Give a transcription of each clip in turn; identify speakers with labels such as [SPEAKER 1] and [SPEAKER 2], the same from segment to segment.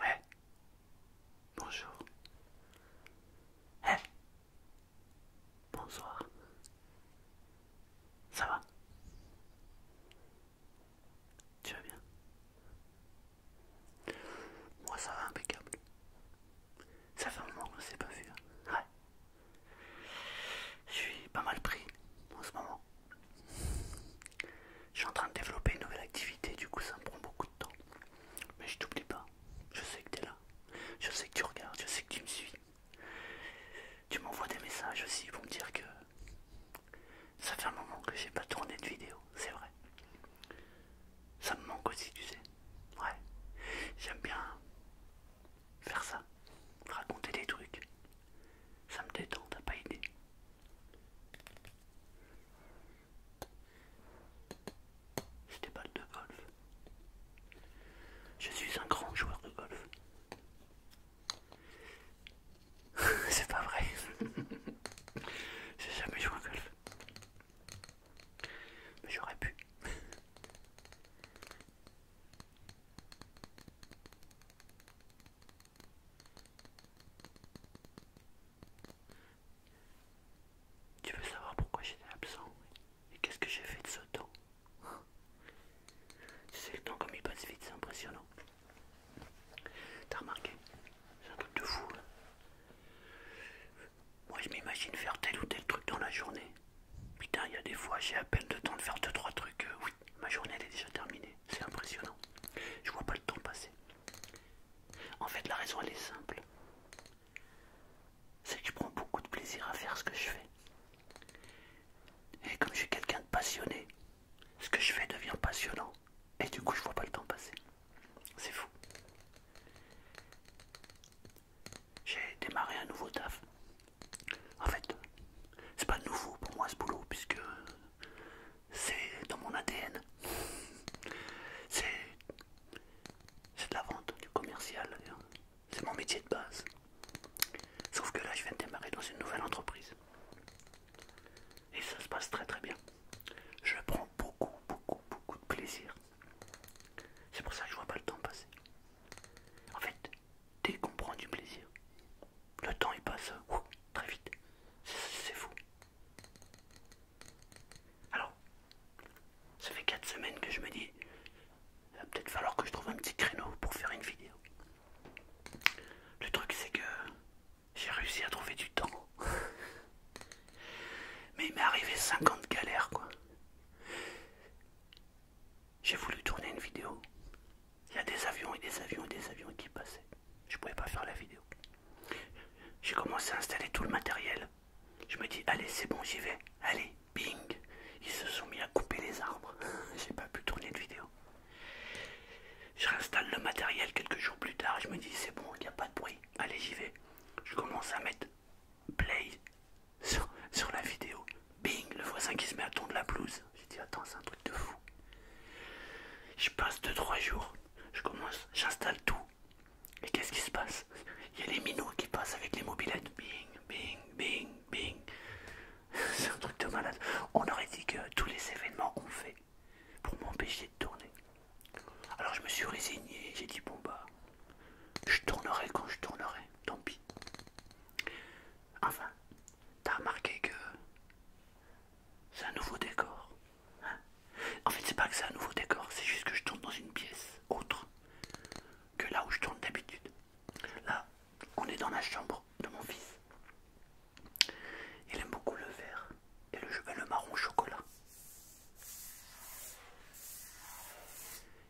[SPEAKER 1] Ouais. Bonjour. Hey. Eh. Bonsoir. Ça va Tu vas bien Moi ça va impeccable. Ça fait un moment je ne pas vu. Hein. Ouais. Je suis pas mal pris en ce moment. Je suis en train de développer une nouvelle activité, du coup ça me prend beaucoup de temps. Mais je t'oublie pas, je sais que t'es là, je sais que tu regardes, je sais que tu me suis. Tu m'envoies des messages aussi pour me dire que ça fait un moment que j'ai pas tourné de vidéo, c'est vrai. Ça me manque aussi, tu sais. Ouais, j'aime bien faire ça, raconter des trucs, ça me détend, t'as pas aidé. C'était pas de golf. Je suis un grand joueur de golf. C'est pas vrai. J'ai jamais joué à golf. Mais j'aurais pu. Tu veux savoir pourquoi j'étais absent et qu'est-ce que j'ai fait de ce temps C'est le temps comme il passe vite, c'est impressionnant. T'as remarqué C'est un truc de fou. Hein. Moi, je m'imagine faire tel ou tel truc dans la journée. Putain, il y a des fois, j'ai à peine le temps de faire 2-3 trucs. Euh, oui, ma journée elle est déjà terminée. C'est impressionnant. Je vois pas le temps passer. En fait, la raison elle est simple. C'est que je prends beaucoup de plaisir à faire ce que je fais. Et comme je suis quelqu'un de passionné, ce que je fais devient passionnant. Et du coup, je vois pas le temps passer. C'est fou j'ai démarré un nouveau taf. En fait, c'est pas nouveau pour moi ce boulot puisque c'est dans mon ADN. C'est de la vente, du commercial. C'est mon métier de base. Sauf que là, je viens de démarrer dans une nouvelle entreprise. Et ça se passe très très bien. Je prends beaucoup, beaucoup, beaucoup de plaisir. C'est pour ça que je vois pas le temps passer. En fait, dès qu'on prend du plaisir, le temps il passe très vite. C'est fou. Alors, ça fait 4 semaines que je me dis, il va peut-être falloir que je trouve un petit créneau pour faire une vidéo. Le truc c'est que j'ai réussi à trouver du temps. Mais il m'est arrivé 50 galères quoi. J'ai voulu tourner une vidéo. Il y a des avions et des avions et des avions qui passaient. Je ne pouvais pas faire la vidéo. J'ai commencé à installer tout le matériel. Je me dis, allez, c'est bon, j'y vais. Allez, bing. Ils se sont mis à couper les arbres. J'ai pas pu tourner de vidéo. Je réinstalle le matériel quelques jours plus tard. Je me dis, c'est bon, il n'y a pas de bruit. Allez, j'y vais. Je commence à mettre play sur, la vidéo. Bing, le voisin qui se met à ton la blouse. J'ai dit, attends, c'est un truc de fou. Je passe 2-3 jours, je commence, j'installe tout. Et qu'est-ce qui se passe Il y a les minots qui passent avec les mobilettes. Bing, bing, bing, bing. c'est un truc de malade. On aurait dit que tous les événements ont fait pour m'empêcher de tourner. Alors je me suis résigné, j'ai dit, bon bah, je tournerai quand je tournerai tant pis. Enfin, t'as remarqué que c'est un nouveau décor. Hein. en fait, c'est pas que c'est un nouveau décor, c'est juste que je tourne dans une pièce autre que là où je tourne d'habitude. Là, on est dans la chambre de mon fils. Il aime beaucoup le vert et le, marron le marron chocolat.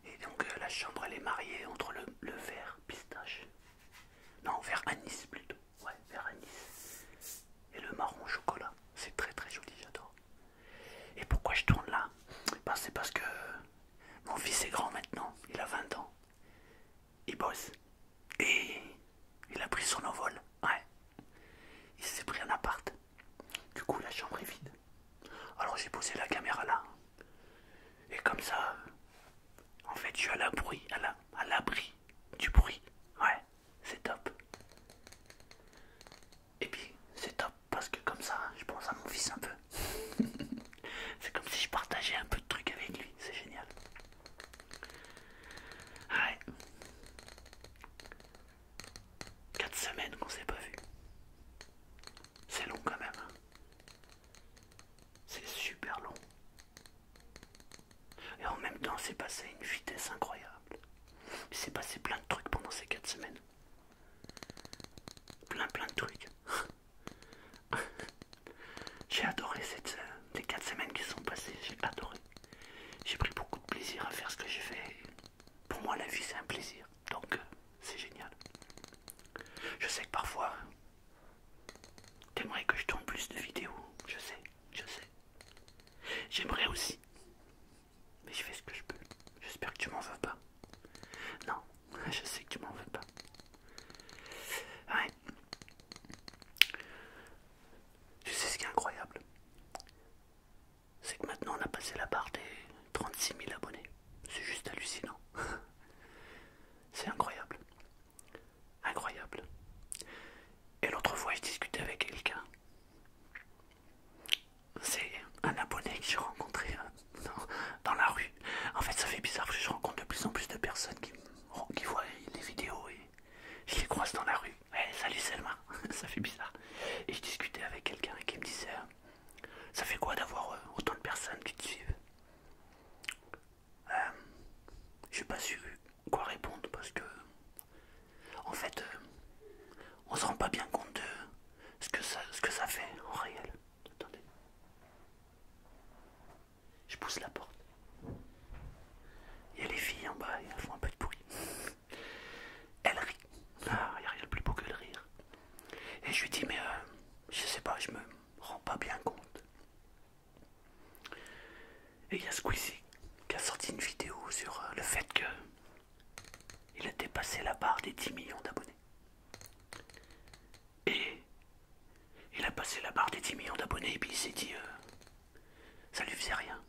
[SPEAKER 1] Et donc euh, la chambre elle est mariée entre le, vert pistache. Non, vert anis plutôt. Ouais, vert anis. Et le marron chocolat. C'est très très joli, j'adore. Et pourquoi je tourne là bah C'est parce que mon fils est grand maintenant. Il a 20 ans. Il bosse. Et il a pris son envol. Ouais. Il s'est pris un appart. Du coup la chambre est vide. Alors j'ai posé la caméra là. Et comme ça, en fait, je suis à l'abri, à l'abri du bruit. Ouais, c'est top. Et puis, c'est top parce que comme ça, je pense à mon fils un peu. c'est comme si je partageais un peu de trucs avec lui. C'est génial. 4 semaines qu'on s'est pas vu. C'est long quand même. Hein. c'est super long. Et en même temps, c'est passé à une vitesse incroyable. Il s'est passé plein de trucs pendant ces 4 semaines. Plein plein de trucs. j'ai adoré ces euh, les 4 semaines qui sont passées. J'ai adoré. J'ai pris beaucoup de plaisir à faire ce que j'ai fait. Pour moi, la vie, c'est un plaisir. Donc, euh, c'est génial. Je sais que parfois, t'aimerais que je tourne plus de vidéos. Je sais, je sais. J'aimerais aussi. Mais je fais ce que je peux. J'espère que tu m'en veux pas. Non, je sais que tu m'en veux pas. Ouais. Tu sais ce qui est incroyable c'est que maintenant on a passé la barre des 36 000 abonnés. C'est juste hallucinant. c'est incroyable. Incroyable. Et l'autre fois, je discutais avec quelqu'un. C'est un abonné que j'ai rencontré euh, dans, la rue. En fait, ça fait bizarre je rencontre de plus en plus de personnes qui, qui voient les vidéos et je les croise dans la rue. Hey, salut Selma, ça fait bizarre. Et je discutais avec quelqu'un qui me disait ça fait quoi d'avoir euh, autant de personnes qui te suivent euh, Je n'ai pas su quoi répondre parce que, en fait, euh, on se rend pas bien compte de ce que ça, ce que ça fait en réel. Attendez. Je pousse la porte. Il y a les filles en bas, elles font un peu de bruit. Elle rit. Ah, il n'y a rien de plus beau que le rire. Et je lui dis, mais je euh, je sais pas, je me rends pas bien compte. Et il y a Squeezie qui a sorti une vidéo sur euh, le fait que il a dépassé la barre des 10 millions d'abonnés. Et il a passé la barre des 10 millions d'abonnés et puis il s'est dit, euh, ça lui faisait rien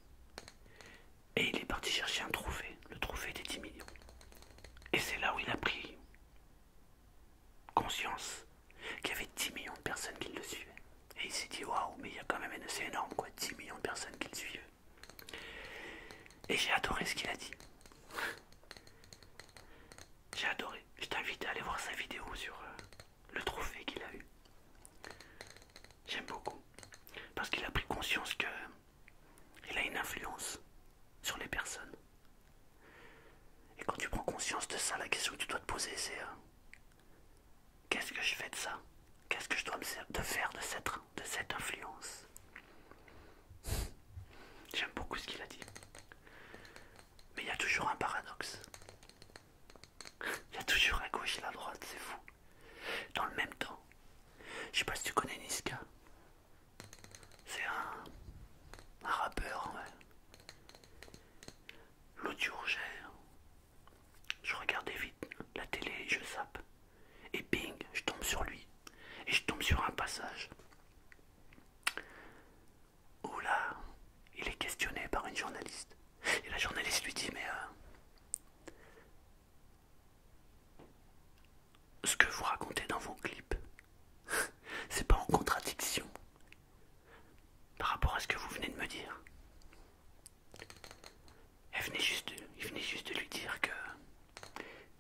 [SPEAKER 1] et il est parti chercher un trophée, le trophée des 10 millions. Et c'est là où il a pris conscience qu'il y avait 10 millions de personnes qui le suivaient. Et il s'est dit waouh, mais il y a quand même, c'est énorme quoi, 10 millions de personnes qui le suivent. Et j'ai adoré ce qu'il a dit. j'ai adoré. Je t'invite à aller voir sa vidéo sur euh, le trophée qu'il a eu. J'aime beaucoup. Parce qu'il a pris conscience que il a une influence sur les personnes. Et quand tu prends conscience de ça, la question que tu dois te poser, c'est euh, qu'est-ce que je fais de ça Qu'est-ce que je dois me faire de cette, influence J'aime beaucoup ce qu'il a dit. Mais il y a toujours un paradoxe. Il y a toujours un gauche et la droite, c'est fou. Dans le même temps, je sais pas si tu connais Niska. C'est un, rappeur, L'eau L'autre jour, je regardais vite la télé je sape, Et bing, je tombe sur lui. Et je tombe sur un passage. Où là, il est questionné par une journaliste. Et la journaliste lui dit, mais... Euh, ce que vous racontez dans vos clips. C'est pas en contradiction par rapport à ce que vous venez de me dire. il venait juste de lui dire que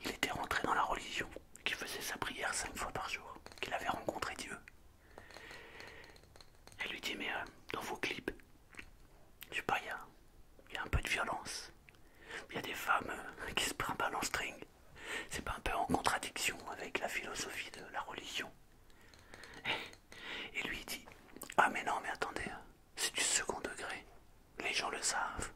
[SPEAKER 1] il était rentré dans la religion, qu'il faisait sa prière cinq fois par jour, qu'il avait rencontré Dieu. Elle lui dit mais euh, dans vos clips, je sais pas, il y a un peu de violence. Il y a des femmes euh, qui se prennent en string. C'est pas un peu en contradiction avec la philosophie de la religion. Et lui il dit Ah, mais non, mais attendez, c'est du second degré. Les gens le savent.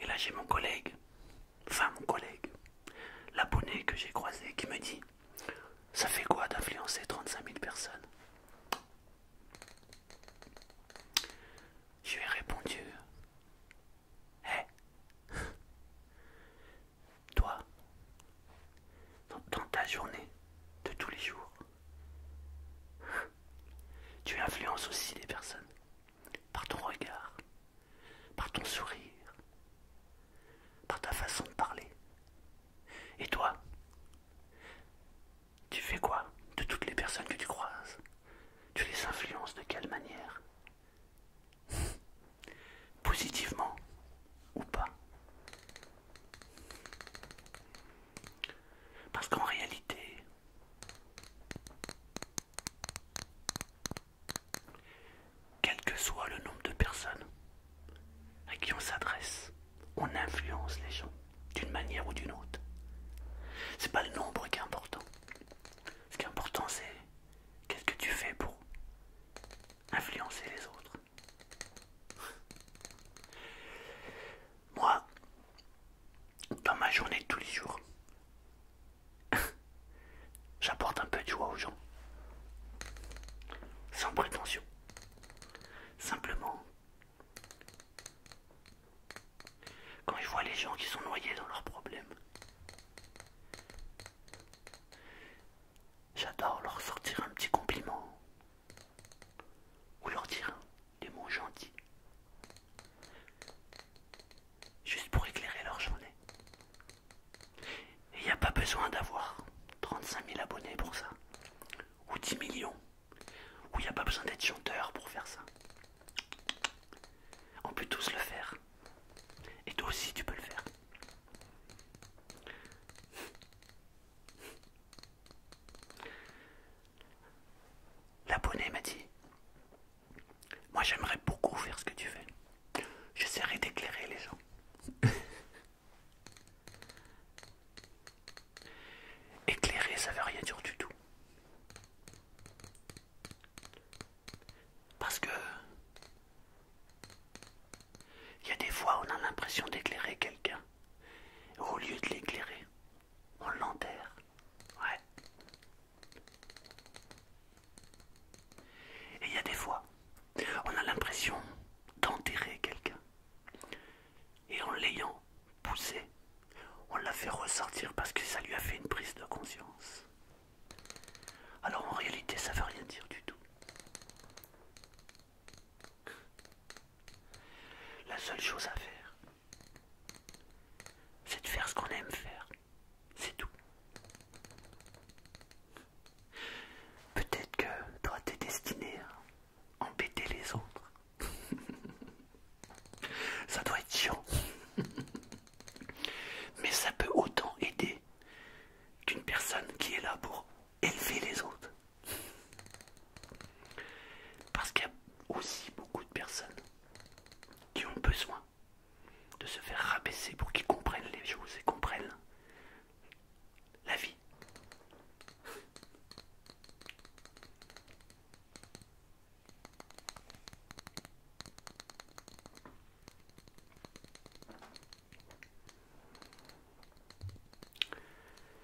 [SPEAKER 1] Et là, j'ai mon collègue enfin mon collègue, l'abonné que j'ai croisé qui me dit Ça fait quoi d'influencer 35 000 personnes Je lui ai répondu Hé eh, Toi, dans ta journée de tous les jours, tu influences aussi les personnes par ton regard, par ton sourire, par ta façon de parler. Et toi, tu fais quoi de toutes les personnes que tu croises Tu les influences de quelle manière Positivement ou pas Parce qu'en réalité, quel que soit le nombre de personnes à qui on s'adresse, on influence les gens d'une manière ou d'une autre. C'est pas le nombre qui est important. Ce qui est important, c'est qu'est-ce que tu fais pour influencer les autres. Moi, dans ma journée de tous les jours, J'apporte un peu de joie aux gens. Sans prétention. Simplement, quand je vois les gens qui sont noyés dans leurs problèmes, j'adore leur sortir un petit compliment ou leur dire des mots gentils juste pour éclairer leur journée. Et il n'y a pas besoin d'avoir 35 000 abonnés pour ça, ou 10 millions, ou il n'y a pas besoin d'être chanteur pour faire ça. On peut tous le faire. Et toi aussi, tu peux le faire. L'abonné m'a dit, moi j'aimerais beaucoup faire ce que tu fais. J'essaierai d'éclairer les gens. Éclairer, ça veut rien dire du tout. Parce que il y a des fois où on a l'impression d'éclairer quelqu'un. Au lieu de l'éclairer, on l'enterre. Ouais. Et il y a des fois, on a l'impression d'enterrer quelqu'un. Et en l'ayant poussé, on l'a fait ressortir parce que ça lui a fait une prise de conscience. Alors en réalité, ça ne veut rien dire du tout. La seule chose à faire, c'est de faire ce qu'on aime faire. C'est tout. Peut-être que toi t'es destiné à embêter les autres. ça doit être chiant. Mais ça peut autant aider qu'une personne qui est là pour élever les autres. Parce qu'il y a aussi beaucoup de personnes qui ont besoin de se faire rabaisser pour qu'ils comprennent les choses et comprennent la vie.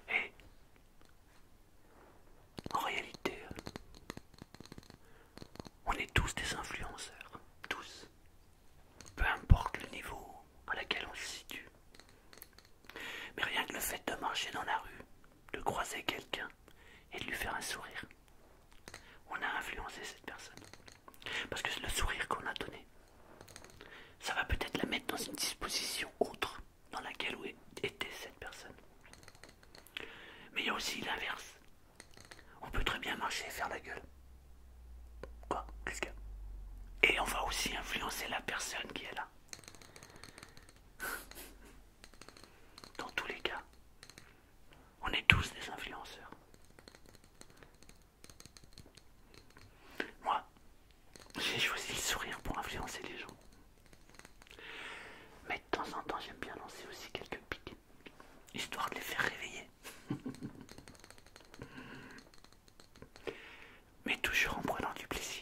[SPEAKER 1] Et en réalité, on est tous des influenceurs, tous. Peu importe le niveau à laquelle on se situe. Mais rien que le fait de marcher dans la rue, de croiser quelqu'un et de lui faire un sourire, on a influencé cette personne. Parce que c'est le sourire qu'on a donné, ça va peut-être la mettre dans une disposition autre dans laquelle était cette personne. Mais il y a aussi l'inverse, on peut très bien marcher et faire la gueule. Quoi Qu'est-ce qu'il Et on va aussi influencer la personne qui est là. Dans tous les cas, on est tous des influenceurs. Moi, j'ai choisi le sourire pour influencer les gens. Mais de temps en temps, j'aime bien lancer aussi quelques pics, histoire de les faire réveiller. Mais toujours en prenant du plaisir.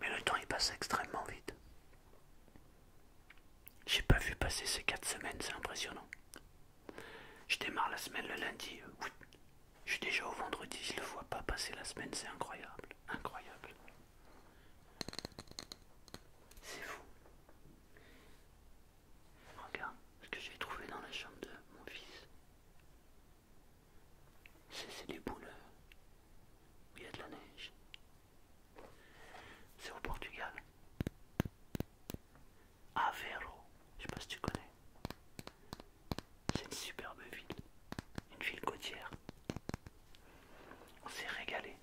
[SPEAKER 1] Mais le temps il passe extrêmement vite. J'ai pas vu passer ces 4 semaines, c'est impressionnant. Je démarre la semaine le lundi euh, je suis déjà au vendredi, je le vois pas passer la semaine, c'est incroyable, incroyable. C'est fou. Regarde ce que j'ai trouvé dans la chambre de mon fils. C'est des boules. Euh, il y a de la neige. C'est au Portugal. Aveiro, je sais pas si tu connais. C'est une superbe ville, une ville côtière. On s'est régalé.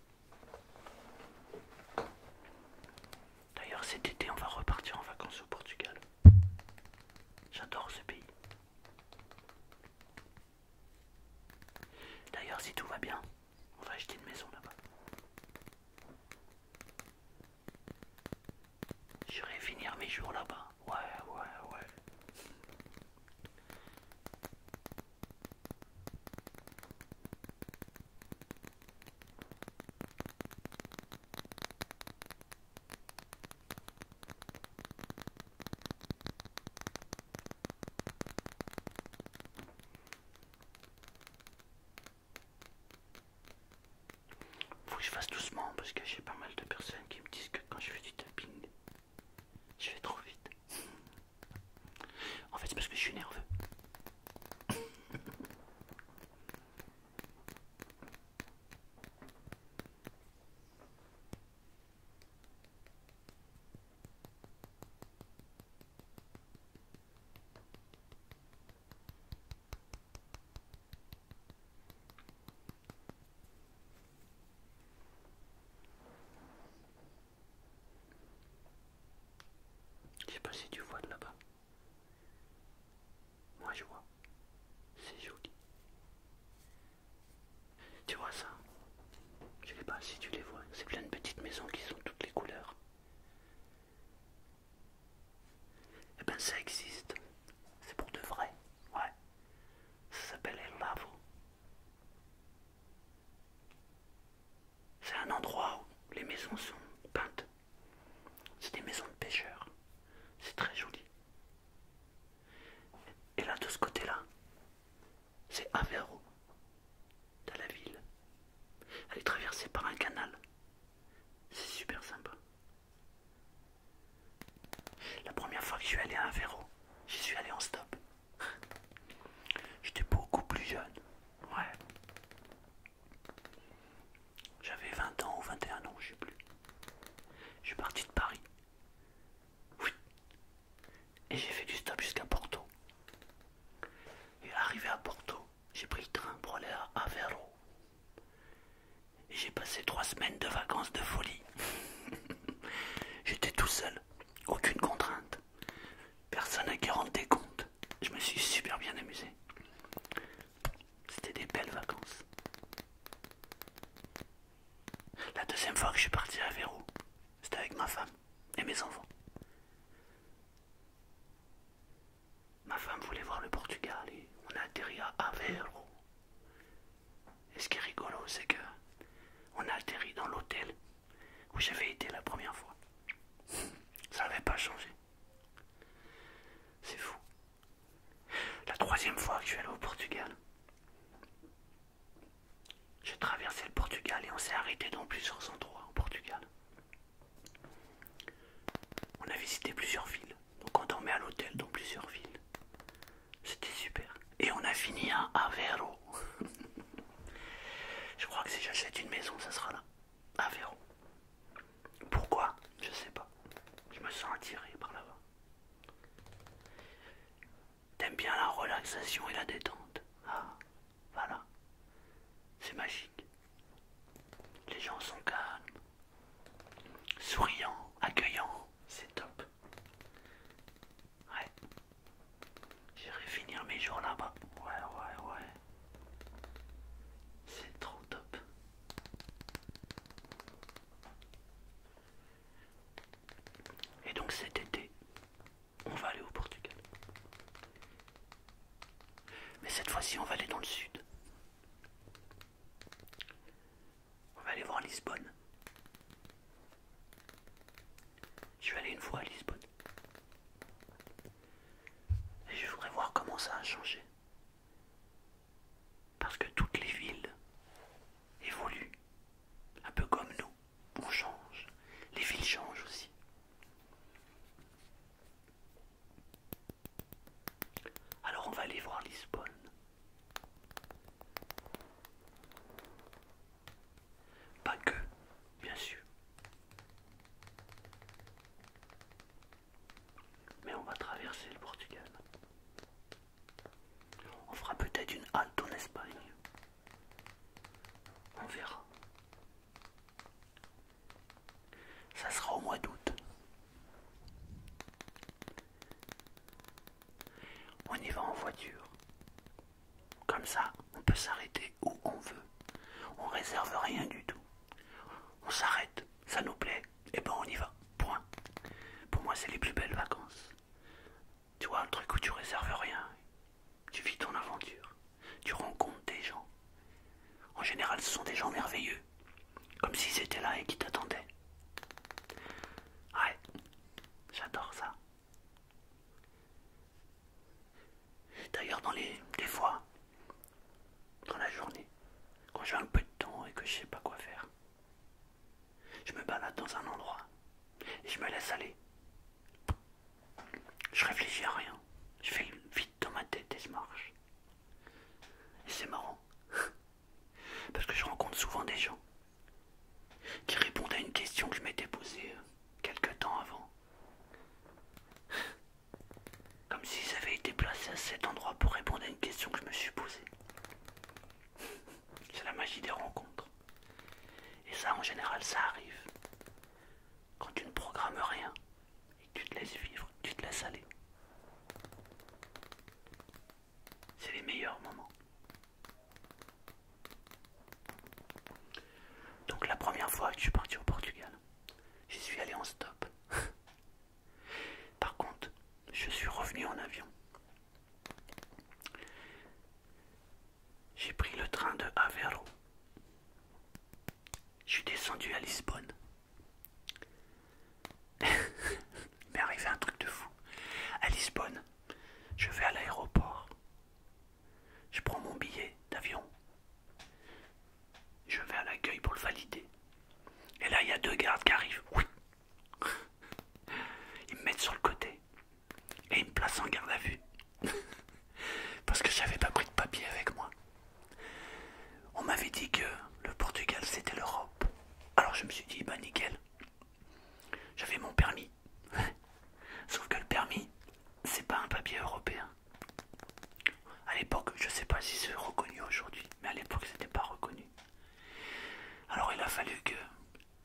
[SPEAKER 1] D'ailleurs cet été on va repartir en vacances au Portugal. J'adore ce pays. D'ailleurs si tout va bien, on va acheter une maison là-bas. Je vais finir mes jours là-bas. Ouais, ouais, ouais. Faut que je fasse doucement parce que j'ai pas mal de personnes qui me disent que quand je fais du tapping, je vais trop vite. En fait, c'est parce que je suis nerveux. Je sais pas si tu vois de là-bas. Moi je vois. C'est joli. Tu vois ça Je sais pas si tu les vois. C'est plein de petites maisons qui sont toutes les couleurs. Eh bien ça existe. C'est pour de vrai. Ouais. Ça s'appelle El Lavo. C'est un endroit où les maisons sont peintes. C'est des maisons de pêcheurs. C'est très joli. Et là, de ce côté-là, c'est Aveiro, de la ville. Elle est traversée par un canal. C'est super sympa. La première fois que je suis allé à Aveiro, j'y suis allé en stop. J'étais beaucoup plus jeune. Ouais. J'avais 20 ans ou 21 ans, je sais plus. Je suis parti de Paris. Et j'ai fait du stop jusqu'à Porto. Et arrivé à Porto, j'ai pris le train pour aller à Aveiro j'ai passé trois semaines de vacances de folie. J'étais tout seul, aucune contrainte, personne à qui rendre des comptes, Je me suis super bien amusé. C'était des belles vacances. La deuxième fois que je suis parti à Verrou, c'était avec ma femme et mes enfants. Ma femme voulait voir le Portugal et on a atterri à Aveiro. Et ce qui est rigolo, c'est que on a atterri dans l'hôtel où j'avais été la première fois. Ça n'avait pas changé. C'est fou. La troisième fois que je suis allé au Portugal, j'ai traversé le Portugal et on s'est arrêté dans plusieurs endroits au Portugal. On a visité plusieurs villes. Donc on dormait à l'hôtel dans plusieurs villes. C'était super. Et on a fini à Aveiro. je crois que si j'achète une maison, ça sera là. Aveiro. Pourquoi Je sais pas. Je me sens attiré par là-bas. T'aimes bien la relaxation et la détente. Ah, voilà. C'est magique. Les gens sont calmes, souriants, accueillants, c'est top. Ouais. J'irai finir mes jours là-bas. Ouais, ouais, ouais. C'est trop top. Et donc cet été, on va aller au Portugal. Mais cette fois-ci, on va aller dans le sud. On va aller voir Lisbonne. Je vais aller une fois à Lisbonne. Et je voudrais voir comment ça a changé. Parce que toutes les villes évoluent. Un peu comme nous. On change. Les villes changent aussi. Alors on va aller voir Lisbonne. Pas que, bien sûr. Mais on va traverser le Portugal. On fera peut-être une halte en Espagne. On verra. Ça sera au mois d'août. On y va en voiture. Comme ça, on peut s'arrêter où on veut. On réserve rien du tout. On s'arrête, ça nous plaît, et ben on y va. Point. Pour moi, c'est les plus belles vacances. Tu vois, le truc où tu réserves rien. Tu vis ton aventure. Tu rencontres des gens. En général, ce sont des gens merveilleux, comme s'ils étaient là et qui t'attendaient. Ouais, j'adore ça. D'ailleurs, dans les des fois, dans la journée, quand j'ai un peu de temps et que je sais pas quoi faire, je me balade dans un endroit et je me laisse aller. Je réfléchis à rien. Je fais vite dans ma tête, ça marche. Et c'est marrant. Parce que je rencontre souvent des gens qui répondent à une question que je m'étais posée euh, quelque temps avant. Comme s'ils avaient été placés à cet endroit pour répondre à une question que je me suis posée. C'est la magie des rencontres. Et ça, en général, ça arrive. Quand tu ne programmes rien, et tu te laisses vivre, tu te laisses aller. C'est les meilleurs moments. Donc la première fois que je suis parti au Portugal, j'y suis allé en stop. Par contre, je suis revenu en avion. J'ai pris le train de Aveiro je suis descendu à Lisbonne. il m'est arrivé un truc de fou. À Lisbonne, je vais à l'aéroport. Je prends mon billet d'avion. Je vais à l'accueil pour le valider. Et là, il y a deux gardes qui arrivent. Oui. Ils me mettent sur le côté. Et ils me placent en garde à vue. Parce que j'avais pas pris de papier avec moi. On m'avait dit que le Portugal c'était l'Europe. Alors je me suis dit, bah nickel. J'avais mon permis. Sauf que le permis, c'est pas un papier européen. À l'époque, je sais pas si c'est reconnu aujourd'hui, mais à l'époque c'était pas reconnu. Alors il a fallu que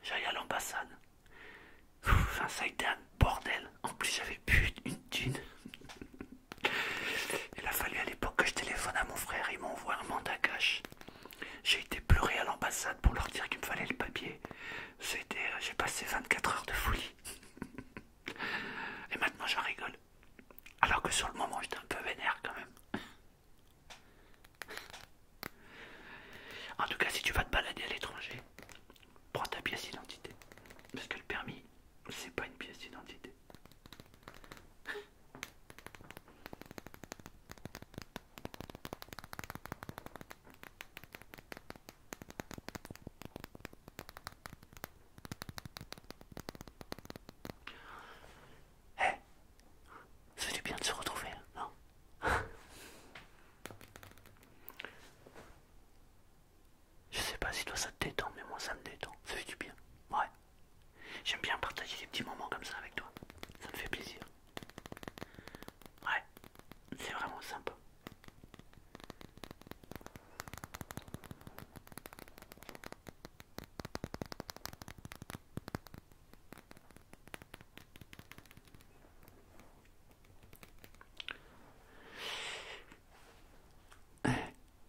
[SPEAKER 1] j'aille à l'ambassade. ça a été un bordel. En plus, j'avais pu une thune. Il a fallu à l'époque que je téléphone à mon frère, il m'envoie un mandat cash. J'ai été pleurer à l'ambassade pour leur dire qu'il me fallait le papier. C'était, euh, j'ai passé 24 heures de folie. Et maintenant j'en rigole. Alors que sur le moment j'étais un peu vénère quand même. En tout cas, si tu vas te balader à l'étranger, prends ta pièce d'identité. Parce que le permis, c'est pas une pièce d'identité. Eh C'est du bien de se retrouver, hein, non je sais pas si toi ça te détend, mais moi ça me détend. Ça fait du bien. Ouais. J'aime bien partager des petits moments comme ça avec toi. Ça me fait plaisir. Ouais. C'est vraiment sympa.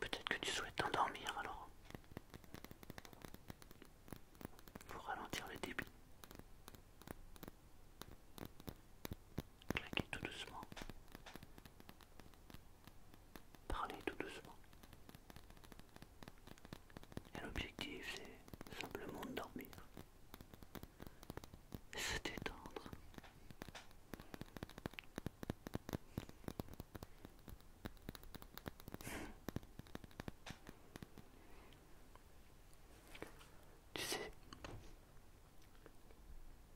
[SPEAKER 1] Peut-être que tu souhaites t'endormir alors. Pour ralentir le débit. Claquer tout doucement. Parlez tout doucement. Et l'objectif, c'est simplement de dormir. Se détendre tu sais,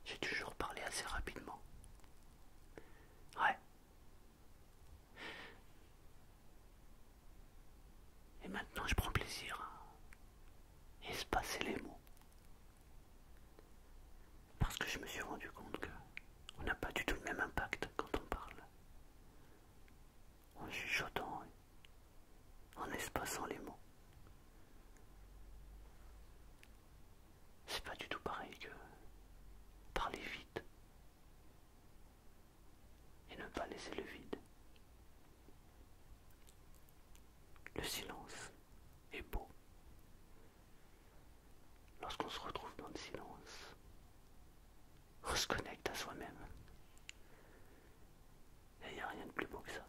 [SPEAKER 1] j'ai toujours parlé assez rapidement. Ouais. Et maintenant je prends plaisir à espacer les mots. Parce que je me suis rendu compte que on n'a pas du tout le même impact quand on parle. En chuchotant, en espaçant les mots. C'est pas du tout pareil que parler vite et ne pas laisser le vide. Le silence et beau. Lorsqu'on se retrouve dans le silence, on se connecte à soi-même. Et il n'y a rien de plus beau que ça.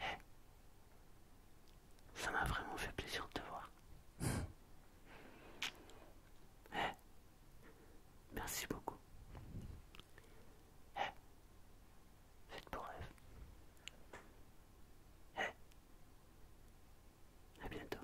[SPEAKER 1] Eh, ça m'a vraiment fait plaisir de te voir. Eh, merci beaucoup. Eh Faites pour rêve. Eh À bientôt.